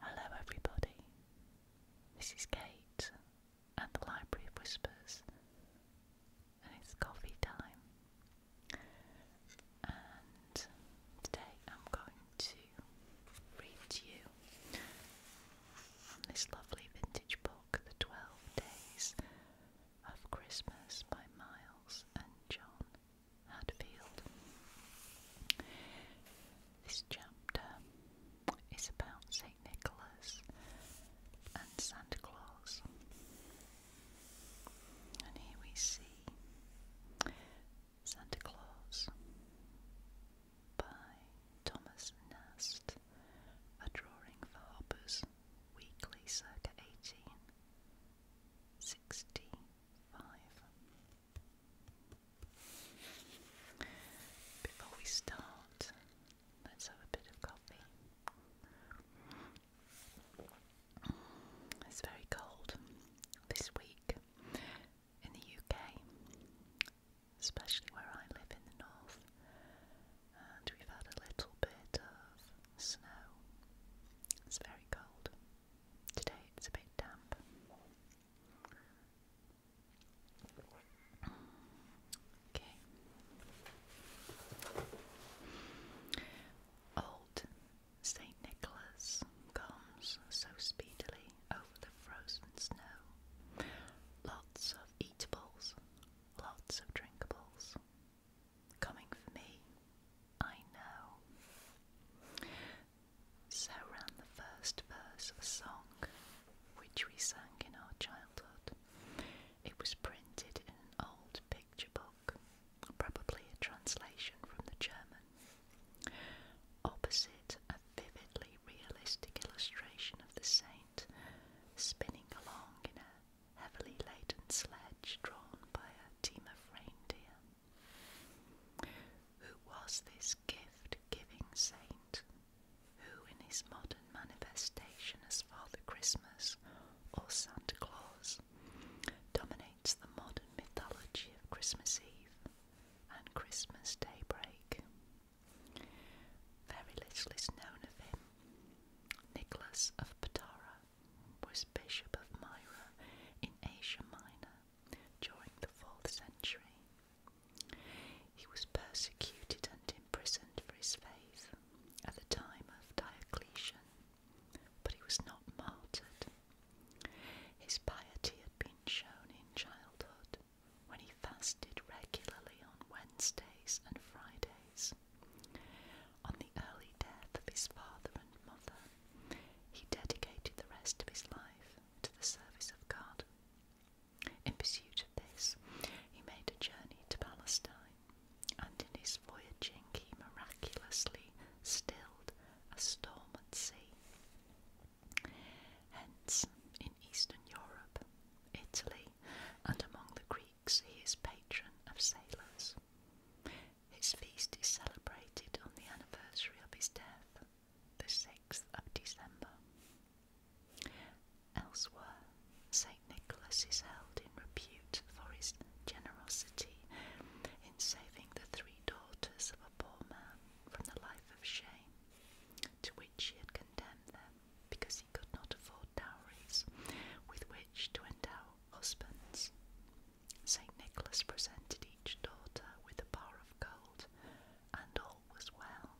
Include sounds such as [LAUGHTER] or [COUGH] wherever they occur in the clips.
Hello, everybody. This is Kate at the Library Whispers, and it's coffee time. And today I'm going to read you from this lovely vintage book, The Twelve Days of Christmas by Miles and John Hadfield. This chapter is about St. Nicholas and Santa Claus. And here we see Santa Claus by Thomas Nast, a drawing for Harper's Weekly circa 1860 five. Before we start, let's have a bit of coffee. It's very cold this week in the UK, especially where I live in the north, and we've had a little bit of snow. It's very cold. Today it's a bit damp. Okay. Old St. Nicholas comes so speedily over the frozen snow. Lots of eatables, lots of drinkables. Coming for me, I know. So ran the first verse of a song which we sang in our childhood. It was printed in an old picture book, probably a translation from the German. Opposite a vividly realistic illustration of the saint spinning along in a heavily laden sledge drawn by a team of reindeer. Who was this gift giving saint who, in his modern manifestation as Father Christmas or Santa Claus, dominates the modern mythology of Christmas Eve and Christmas daybreak? Very little is known of him. Nicholas of Patara was Bishop of Myra in Asia Minor during the 4th century. He was persecuted and imprisoned for his faith at the time of Diocletian, but he was not martyred. His piety had been shown in childhood when he fasted regularly on Wednesdays and Fridays. On the early death of his father and mother, he dedicated the rest of his life to the service of God. In pursuit of this, he made a journey to Palestine, and in his voyaging, he miraculously stilled a storm at sea. Hence, in Eastern Europe, Italy, and among the Greeks, he is patron of sailors. His feast is celebrated on the anniversary of his death, the 6th of December. Elsewhere, St. Nicholas is held in repute for his generosity in saving the three daughters of a poor man from the life of shame, to which he had condemned them because he could not afford dowries with which to endow husbands. St. Nicholas presented each daughter with a bar of gold, and all was well.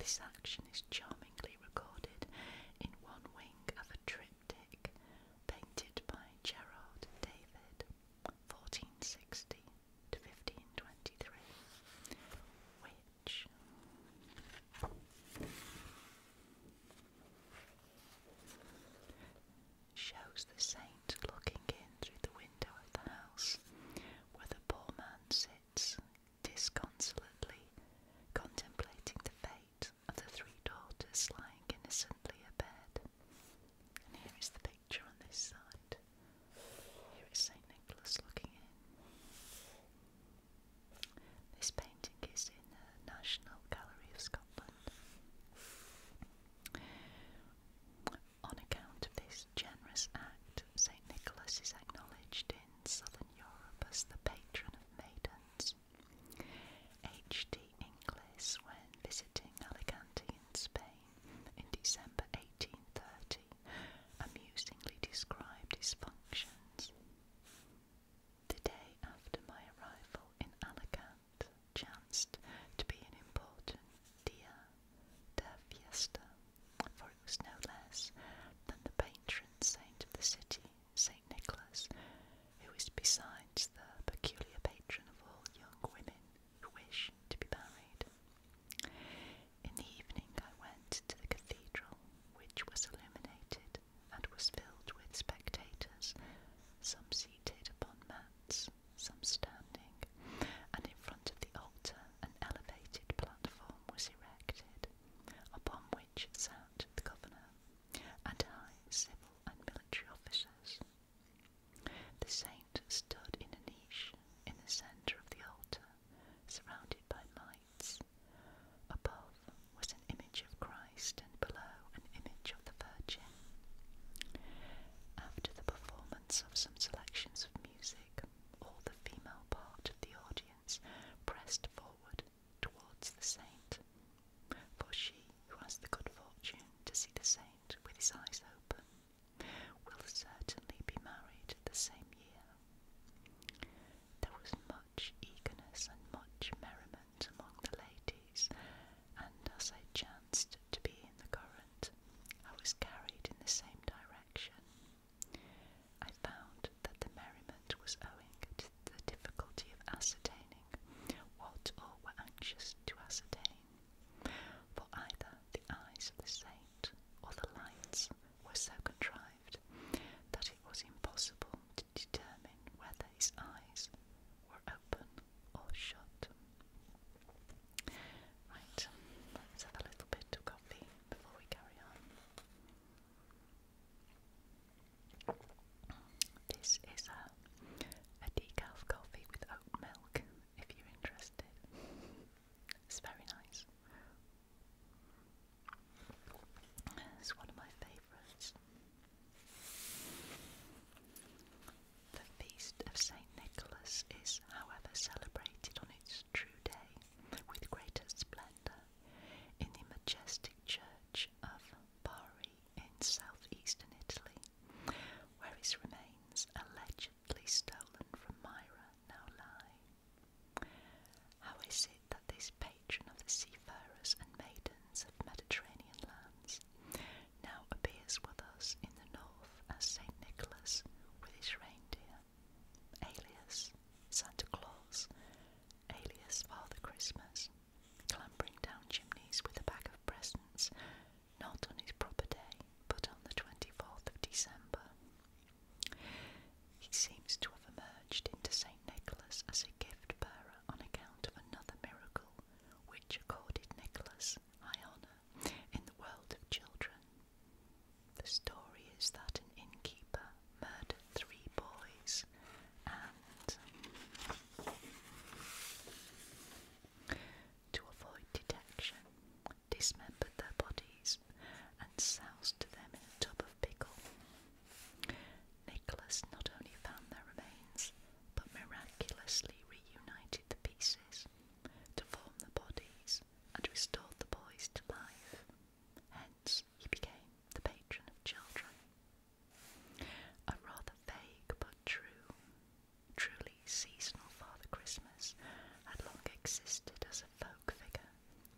This action is charmingly recorded in one wing of a triptych painted by Gerard David, 1460 to 1523, which shows the saint looking in through the window of the house where the poor man sits disconsolately contemplating the fate of the three daughters lying innocently abed. And here is the picture on this side. Here is St. Nicholas looking in. This painting is in the National Gallery of Scotland. On account of this generous act, St. Nicholas is acknowledged in southern Europe as the patron of maidens. H.T. Inglis, when visiting Alicante in Spain in December 1830, amusingly described his functions. The day after my arrival in Alicante, chanced to be an important dia de for it was no less than the patron saint of the city, St. Nicholas, who is besides the peculiar patron of all young women who wish to be married. In the evening, I went to the cathedral, which was illuminated and was filled with spectators some seated upon mats, some standing, and in front of the altar an elevated platform was erected, upon which sat the governor and high civil and military officers. The saint stood in a niche in the centre of the altar, surrounded by lights. Above was an image of Christ extend below an image of the Virgin. After the performance of some selections of music, all the female part of the audience pressed forward towards the saint, for she who has the good fortune to see the saint with his eyes open will certainly be married the same year. There was much eagerness and much merriment among the ladies, and as I chanced to be in the current, I was carried in the same direction. I found that the merriment was owing to the difficulty of ascertaining what all were anxious to ascertain, for either the eyes of the saint or the lights were so contrived that it was impossible to determine whether his eyes were are open or shut. Right, let's have a little bit of coffee before we carry on. This is a, a decaf coffee with oat milk if you're interested. It's very nice. It's one of my favourites. The feast of St. Nicholas is, however, celebrated on its true day with greater splendour in the majestic church of Bari in southeastern Italy, where his remains, allegedly stolen from Myra, now lie. How is it that this patron of the seafarers and maidens of Mediterranean lands now appears with us in the north as St. Nicholas with his reindeer, alias Santa Claus, alias Father Christmas, clambering down chimneys with a bag of presents, not on his proper day, but on the 24th of December. He seems to have emerged into St. Nicholas as a gift bearer on account of another miracle which accorded Nicholas high honour in the world of children. The story is that an innkeeper murdered three boys and, to avoid detection, dismembered their bodies and soused them in a tub of pickle. Nicholas not only found their remains, but miraculously reunited the pieces to form the bodies and restored the boys to life. Hence, he became the patron of children. A rather vague but true, truly seasonal Father Christmas had long existed as a folk figure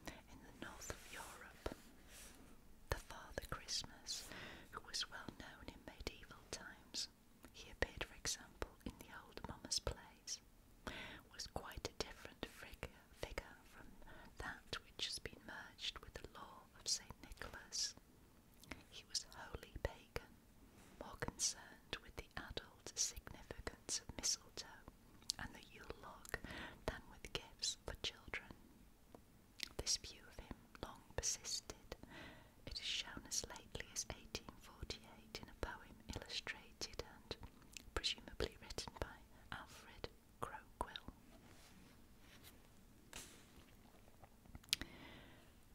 in the north of Europe. The Father Christmas, who was well known in medieval times, he appeared, for example, in the old Mummers plays, was quite a different figure from that which has been merged with the law of St. Nicholas. He was wholly pagan, more concerned with the adult significance of mistletoe and the Yule log than with gifts for children. This view of him long persisted. It is shown as lately as 1848 in a poem illustrated and presumably written by Alfred Croquill.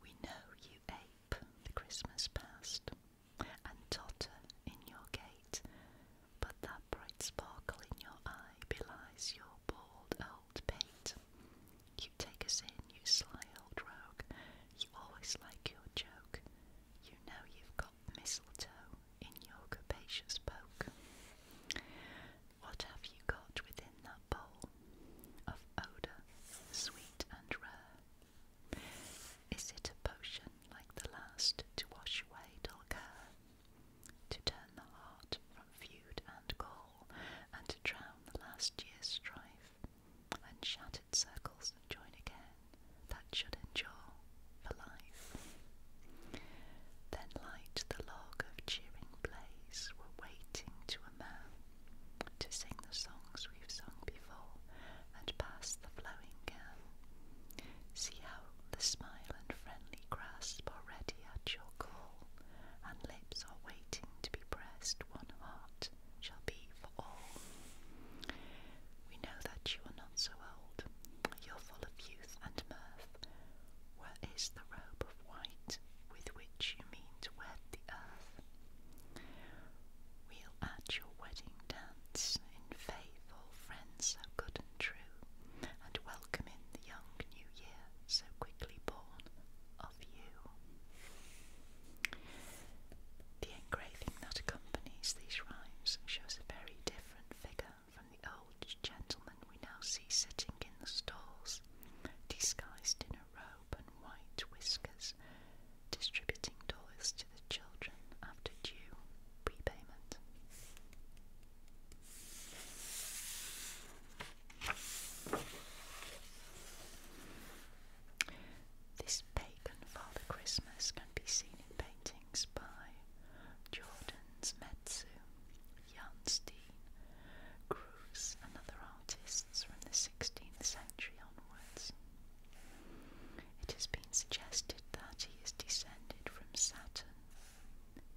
We know you ape the Christmas past and totter in your gate, but that bright sparkle in your eye belies your bald old old paint. You take us in, you sly old rogue. You always like your joke. You know you've got mistletoe in your capacious poke. What have you got within that bowl of odour, sweet and rare? Is it a potion like the last to wash away dull care, to turn the heart from feud and goal, and to drown the last year's strife, and shattered circles that join again, that should endure for life. Then light the log of cheering blaze, we're waiting to a man, to sing the songs we've sung before, and pass the flowing gown. See how the smile and friendly grasp are ready at your call, and lips are waiting to be pressed, one heart shall be for all. We know that you are not so old, you're full of youth and mirth. Where is the robe of white with which you mean to wed the earth? We'll at your wedding dance in faith, all friends so good and true, and welcome in the young new year so quickly born. The engraving that accompanies these rhymes shows a very different figure from the old gentleman we now see sitting in the stalls, disguised in a robe and white whiskers, distributing toys to the children after due prepayment. This pagan Father Christmas can be seen in paintings by Jordans Metsu, Jan Steen, Cruz, and other artists from the 16th century onwards. It has been suggested that he is descended from Saturn,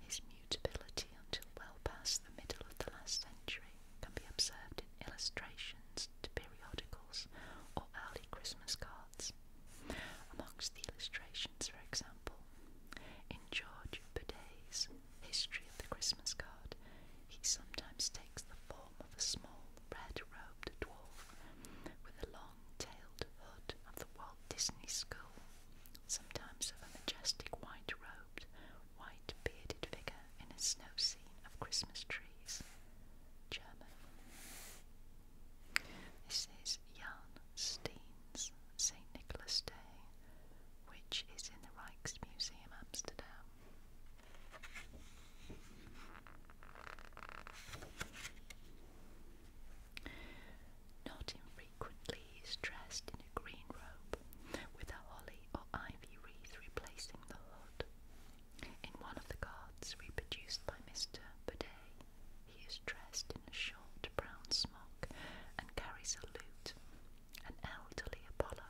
his mutability until well past the middle of the last century can be observed in illustrations to periodicals or early Christmas cards. Amongst the illustrations, for example, in George Burdet's History of the Christmas Card, he sometimes takes the form of a small red robed dwarf with a long tailed hood of the Walt Disney School, sometimes of a majestic white robed, white bearded figure in a snow scene of Christmas trees. German. This is Jan Steen's St. Nicholas Day, which is in the Rijksmuseum Amsterdam. Not infrequently he is dressed in a green robe, with a holly or ivy wreath replacing the hood. In one of the cards reproduced by Mr. Baudet, he is dressed in a short brown smock and carries a lute, an elderly Apollo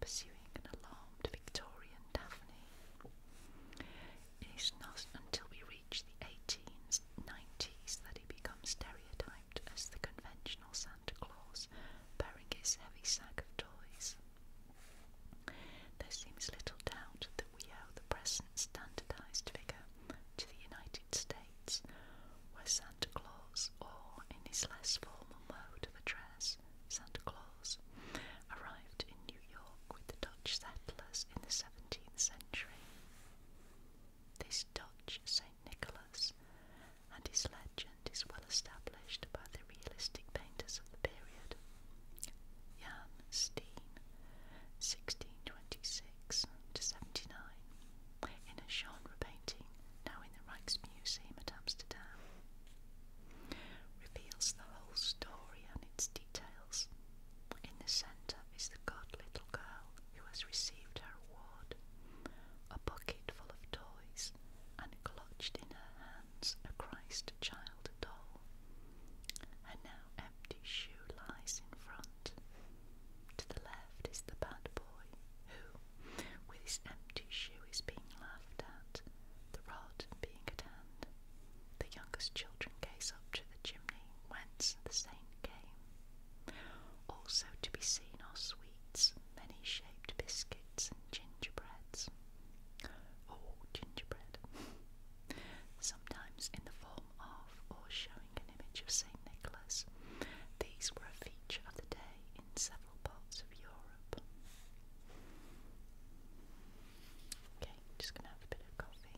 pursuing an alarmed Victorian Daphne. It is not until we reach the 1890s that he becomes stereotyped as the conventional Santa Claus, bearing his heavy sack of toys. There seems little doubt that we owe the present standardized figure to the United States, where Santa Claus, or in his less formal mode of address, Santa Claus, arrived in New York with the Dutch settlers in the 17th century. This Dutch St. Nicholas and his legend is well established by the realistic painters of the period. Jan Steen, 1626 to 79, in a genre painting now in the Rijksmuseum at Amsterdam, reveals the whole story and its details. In the centre is the good little girl who has received her reward, a bucket full of toys and clutched in her hands a Christ child doll. Her now empty shoe lies in front. To the left is the bad boy, who, with his empty shoe, is being laughed at, the rod being at hand. The youngest children gaze up to the chimney whence the saint came. Also to be seen are sweet sweets, many shaped biscuits, and gingerbreads. Oh, gingerbread. Sometimes in the form of or showing an image of St. Nicholas, these were a feature of the day in several parts of Europe. Okay, just gonna have a bit of coffee.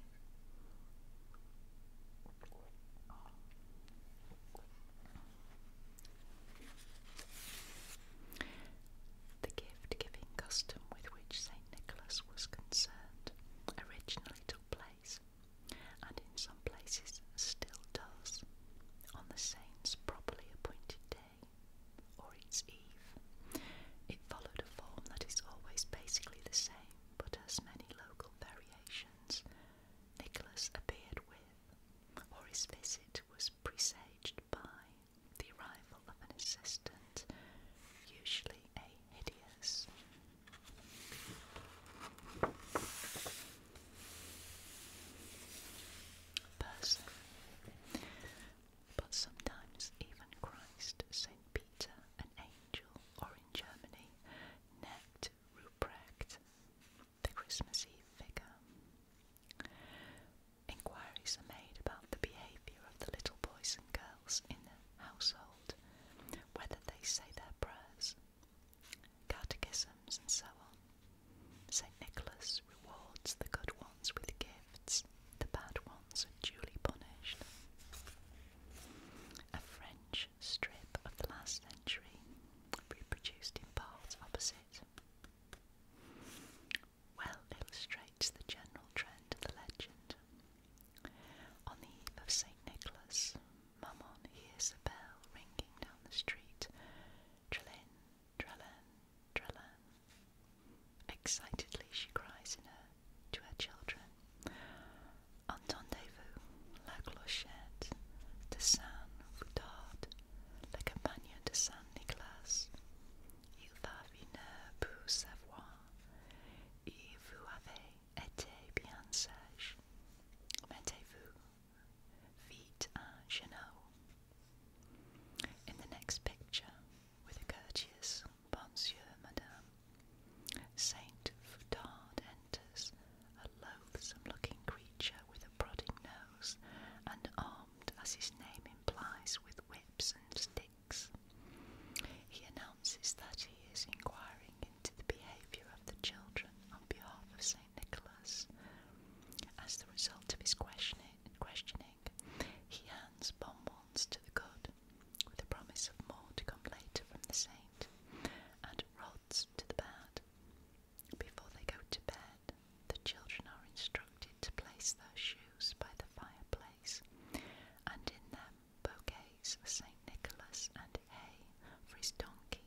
The gift giving custom with which St. Nicholas was concerned originally took place, and in some places still does, on the saint's properly appointed day or its eve. It followed a form that is always basically the same but has many local variations. Nicholas appeared with or his visit was presaged by the arrival of an assistant, usually a hideous. Person, but sometimes even Christ, Saint Peter, an angel, or in Germany, Necht Ruprecht, the Christmas Eve figure. Inquiries are made about the behaviour of the little boys and girls in the household, whether they say their prayers, catechisms, and so on. St. Nicholas rewards the good ones with gifts, the bad ones are duly punished. A French strip of the last century, reproduced in part opposite well illustrates the general trend of the legend. On the eve of St. Nicholas, Mammon hears a bell ringing down the street. Trelin, Trelin, Trelin. Excitedly she cries to her children, Entendez-vous la clochette de Saint-Foudard le campagne de Saint-Nicolas. Il va venir pour savoir, et vous avez été bien sage. Mettez-vous feet à genoux. In the next picture, with courteous Monsieur, Madame, Saint Foutard enters, a loathsome looking creature with a prodding nose, and armed, as his name implies, with whips and sticks. He announces that he is inquiring into the behaviour of the children on behalf of St. Nicholas. As the result of his questioning, questioning he hands bonbons to the good, with a promise of more to come later from the saint, and rods to the bad. Before they go to bed, the children are instructed to place their shoes by the fireplace, and in them bouquets for St. Nicholas and hay for his donkey.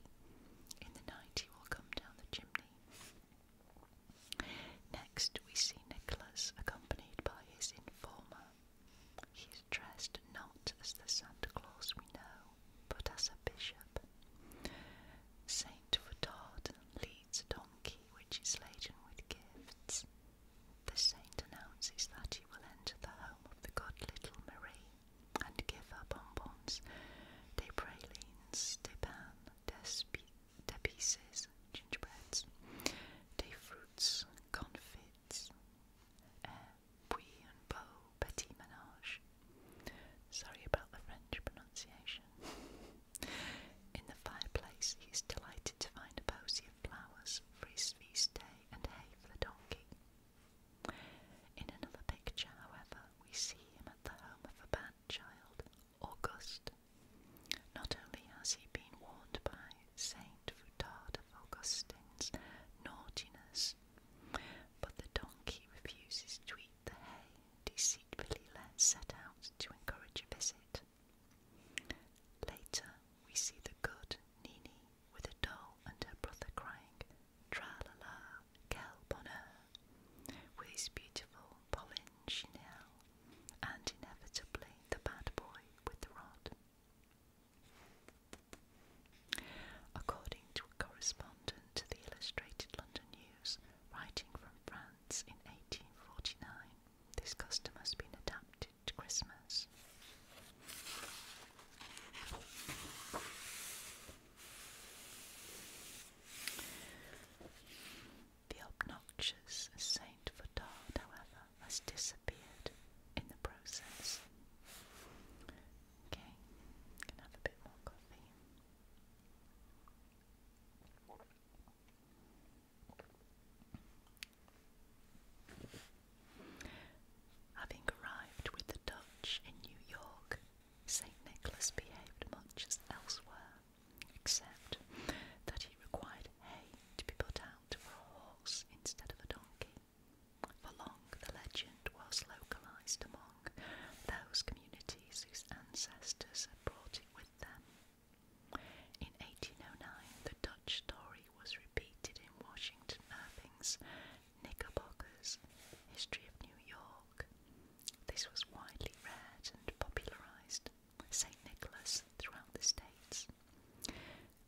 In the night he will come down the chimney. Next, we see Nicholas accompanied by his informer. He is dressed not as the Santa Claus we know, but as a bishop. Saint Fotard leads a donkey which is laden with gifts. The saint announces that he will enter the home of the god Little Marie and give her bonbons, de pralines, de pan, de, de pieces, gingerbreads, de fruits, confits, eh, puis and bow, Petit Menage. Sorry about the French pronunciation. [LAUGHS] In the fireplace, he is delighted to find a posy of flowers for his feast day and hay for the donkey. In another picture, however, we see him at the home of a bad child, August. Not only has he been warned by Saint Futard of Augustine's naughtiness, but the donkey refuses to eat the hay, deceitfully let set out to encourage a visit. Later, we see the good Nini with a doll and her brother crying, Tra la la, quel bonheur, with beautiful Pauline Chanel, and inevitably the bad boy with the rod. According to a correspondent to the Illustrated London News, writing from France in 1849. This custom has been adapted to Christmas. The obnoxious Saint Fotard, however, has disappeared in the process. Okay, can have a bit more coffee. Having arrived with the Dutch in New York, St. Nicholas behaved much as elsewhere, except that he required hay to be put out for a horse instead of a donkey. For long, the legend was localized among those communities whose ancestors had brought it with them. In 1809, the Dutch story was repeated in Washington Irving's Knickerbocker's History of New York. This was widely read and popularized St. Nicholas throughout the states.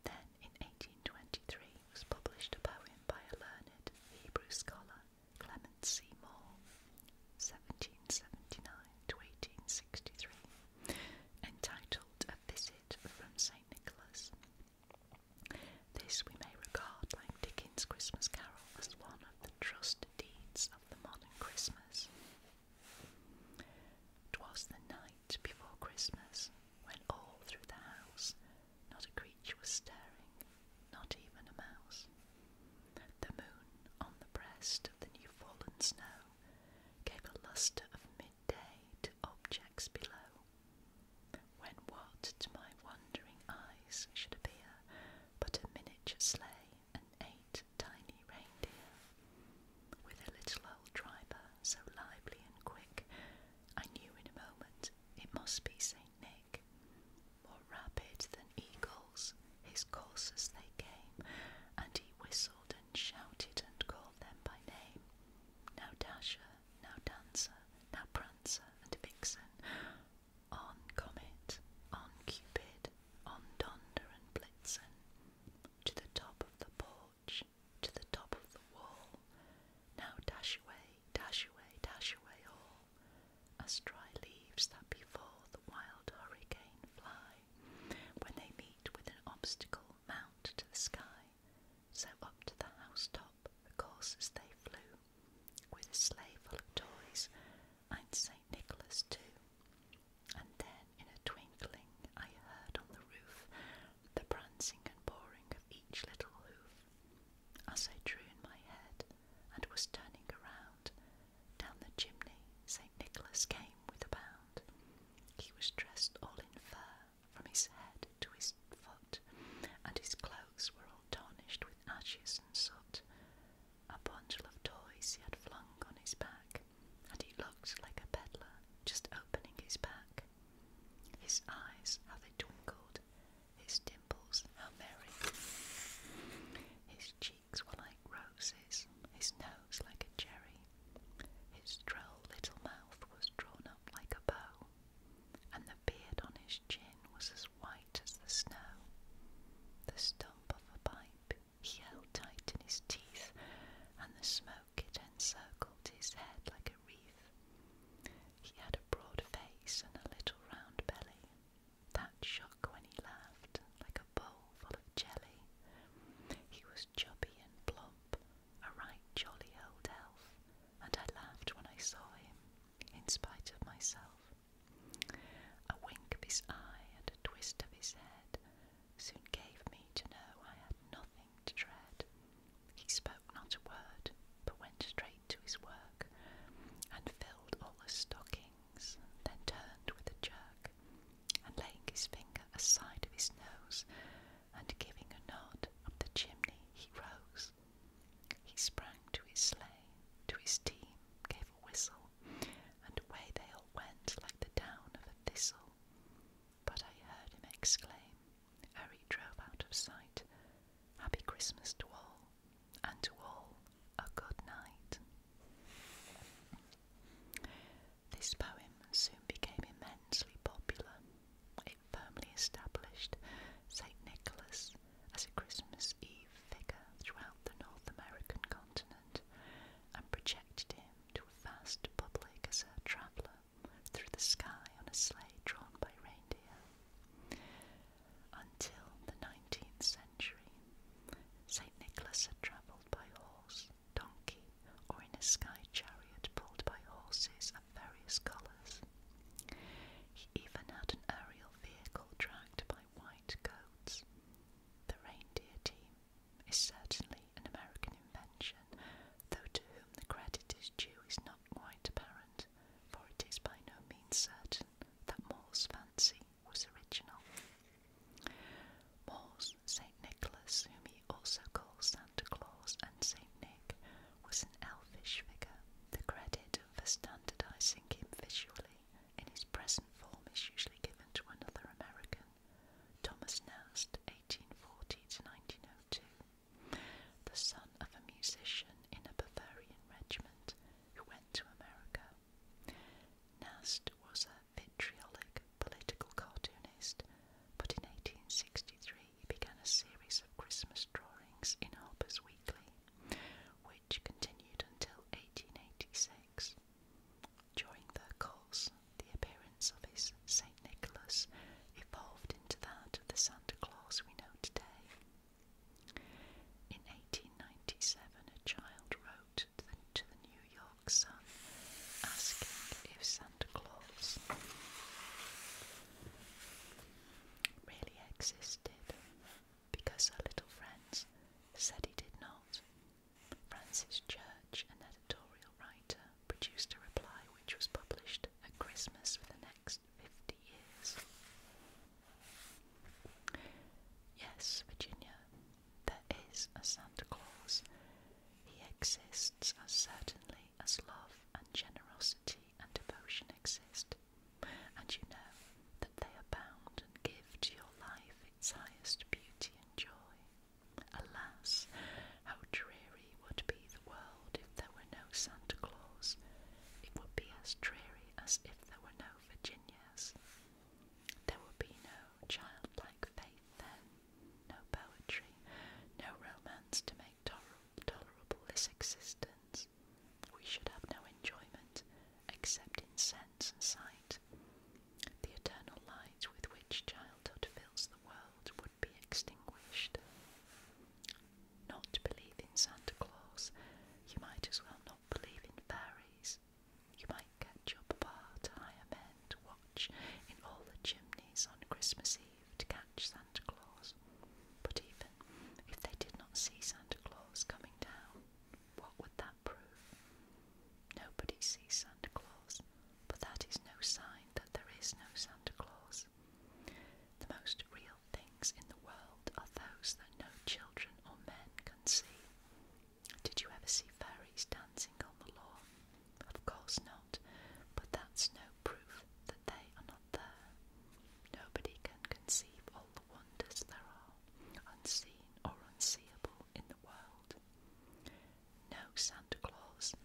Then, in 1823, was published a poem by a learned Hebrew scholar Clement Seymour, 1779 to 1863, entitled A Visit from St. Nicholas. This we may regard, like Dickens' Christmas Carol, as one of the trust deeds of the modern Christmas. 'Twas the night before Christmas, when all through the house not a creature was stirring, not even a mouse. The moon on the breast of the new fallen snow gave a lustre of midday to objects below. When what to my wondering eyes should appear but a miniature sleigh and eight tiny reindeer, with a little old driver so lively and quick, I knew in a moment it must be Saint Nick. More rapid than eagles, his coursers they came, and he whistled and shouted and called them by name. Now Dasher, now Dancer, now Prancer and Vixen, on Comet, on Cupid, on Donder and Blitzen, to the top of the porch, to the top of the wall. Now dash away, dash away, dash away all as dry leaves that before the wild hurricane fly, when they meet with an obstacle, mount to the sky. So up to the housetop, the coursers they flew, with a sleigh full of toys, and St. Nicholas too. And then, in a twinkling, I heard on the roof the prancing and pawing of each little hoof. As I drew in my head and was turning around, down the chimney St. Nicholas came with a bound. He was dressed all in fur from his head to his foot, and his clothes were all tarnished with ashes and soot. A bundle of toys he had flung on his back, and he looked like a peddler just opening his pack. His eyes, how they twinkled, his dimples, how merry. His cheeks were like roses, his nose like a cherry. His droll little mouth was drawn up like a bow, and the beard on his chin was as white as the snow. The stump of a pipe he held tight in his teeth, and the smoke it encircled his head like a wreath. He had a broad face and a little round belly, that shock when he laughed, like a bowl full of jelly. He was chubby and plump, a right jolly old elf, and I laughed when I saw him, in spite of myself. A wink of his eye and a twist of his head soon gave me to know I had nothing to dread. He spoke not a word, but went straight to his work, and filled all the stockings, then turned with a jerk, and laying his finger aside of his nose, and giving a nod up the chimney, he rose. He sprang to his sleigh, to his team, gave a whistle, and away they all went like the down of a thistle. But I heard him exclaim, ere he drove out of sight, Happy Christmas to all, and to all a good night. This poem soon became immensely popular. It firmly established St. Nicholas as a Christmas Eve figure throughout the North American continent and projected him to a vast public as a traveller through the sky on a sleigh drawn by reindeer. Until the 19th century, St. Nicholas had travelled by horse, donkey, or in a sky chariot pulled by horses of various colours. He even had an aerial vehicle dragged by white goats. The reindeer team is certainly an American invention, though to whom the credit is due is not quite apparent, for it is by no means certain that More's fancy was original. More's St. Nicholas, whom he also calls Santa Claus and St. Nick, was an elfish figure. The credit for standardizing him visually in his present form is usually given to another American, Thomas Nast, 1840 to 1902, the son of a musician in a Bavarian regiment who went to America. Nast was a vitriolic political cartoonist, but in 1863 he began a series of Christmas drawings in Harper's Weekly, which continued until 1886. During their course, the appearance of his St. Nicholas evolved into that of the Santa Claus we know today. In 1897, a child wrote to the New York Sun asking if Santa Claus really existed because her little friends said he did not. Francis Church, an editorial writer, produced a reply which was published at Christmas for the next. 50 years. Yes, Virginia, there is a Santa Claus. He exists as certainly as love and generosity and devotion exist. And you know that they abound and give to your life its highest beauty and joy. Alas, how dreary would be the world if there were no Santa Claus. It would be as dreary as if there were no Virginias. There would be no childlike faith then, no poetry, no romance to make tolerable this existence. We should have no enjoyment except in sense and sight. The eternal light with which childhood fills the world would be extinguished not believe in Santa Claus, you might as well not believe in fairies. You might get catch up part higher men to watch in all the chimneys on Christmas Eve to catch Santa Claus. But even if they did not see Santa Claus coming down, what would that prove? Nobody sees Santa Claus, but that is no sign that there is no Santa Claus. The most real profound things in the world are those that no children or men can see. Did you ever see fairies dancing on the lawn? Of course not, but that's no proof that they are not there. Nobody can conceive all the wonders there are, unseen or unseeable in the world. No Santa Claus.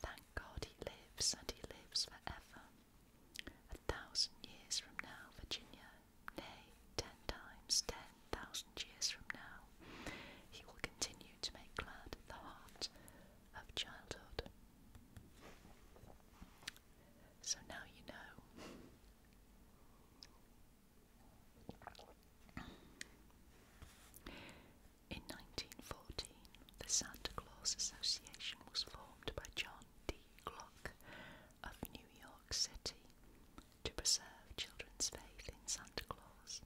Thank God he lives, and he lives forever. A thousand years from now, Virginia, nay, ten times, ten thousand years from now, he will continue to make glad the heart of childhood. So now you know. In 1914, the Santa Claus Association was formed by John D. Glock of New York City to preserve children's faith in Santa Claus.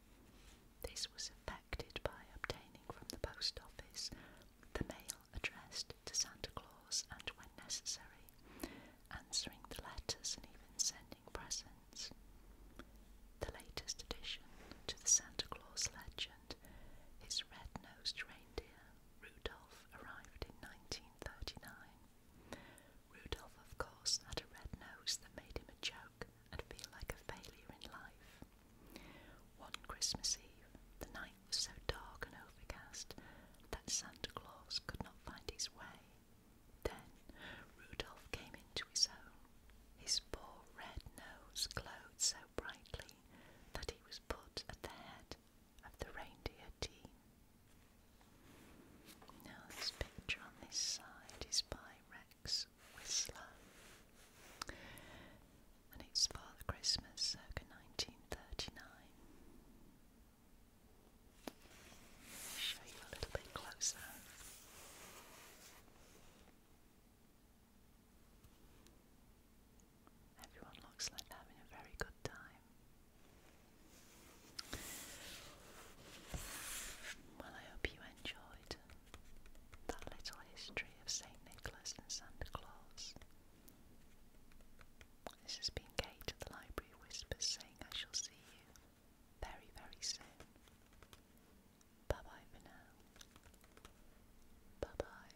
This was effected by obtaining from the post office the mail addressed to Santa Claus and, when necessary, answering the letters and even sending presents. The latest addition to the Santa Claus legend is Red Nosed Reindeer, Rudolf arrived in 1939. Rudolf, of course, had a red nose that made him a joke and feel like a failure in life. One Christmas Eve, the night was so dark and overcast that Santa Claus could not find his way. Then Rudolf came into his own. His poor red nose glowed so brightly that he was put at the head of the reindeer team. Now, this picture on this side is by Rex Whistler, and it's Father Christmas circa 1939. show you a little bit closer. Everyone looks like they're having a very good time. Well, I hope you enjoyed that little history of St. Nicholas and Santa Claus. This has been Kate at the Library Whispers saying I shall see you very, very soon. Bye bye for now. Bye bye.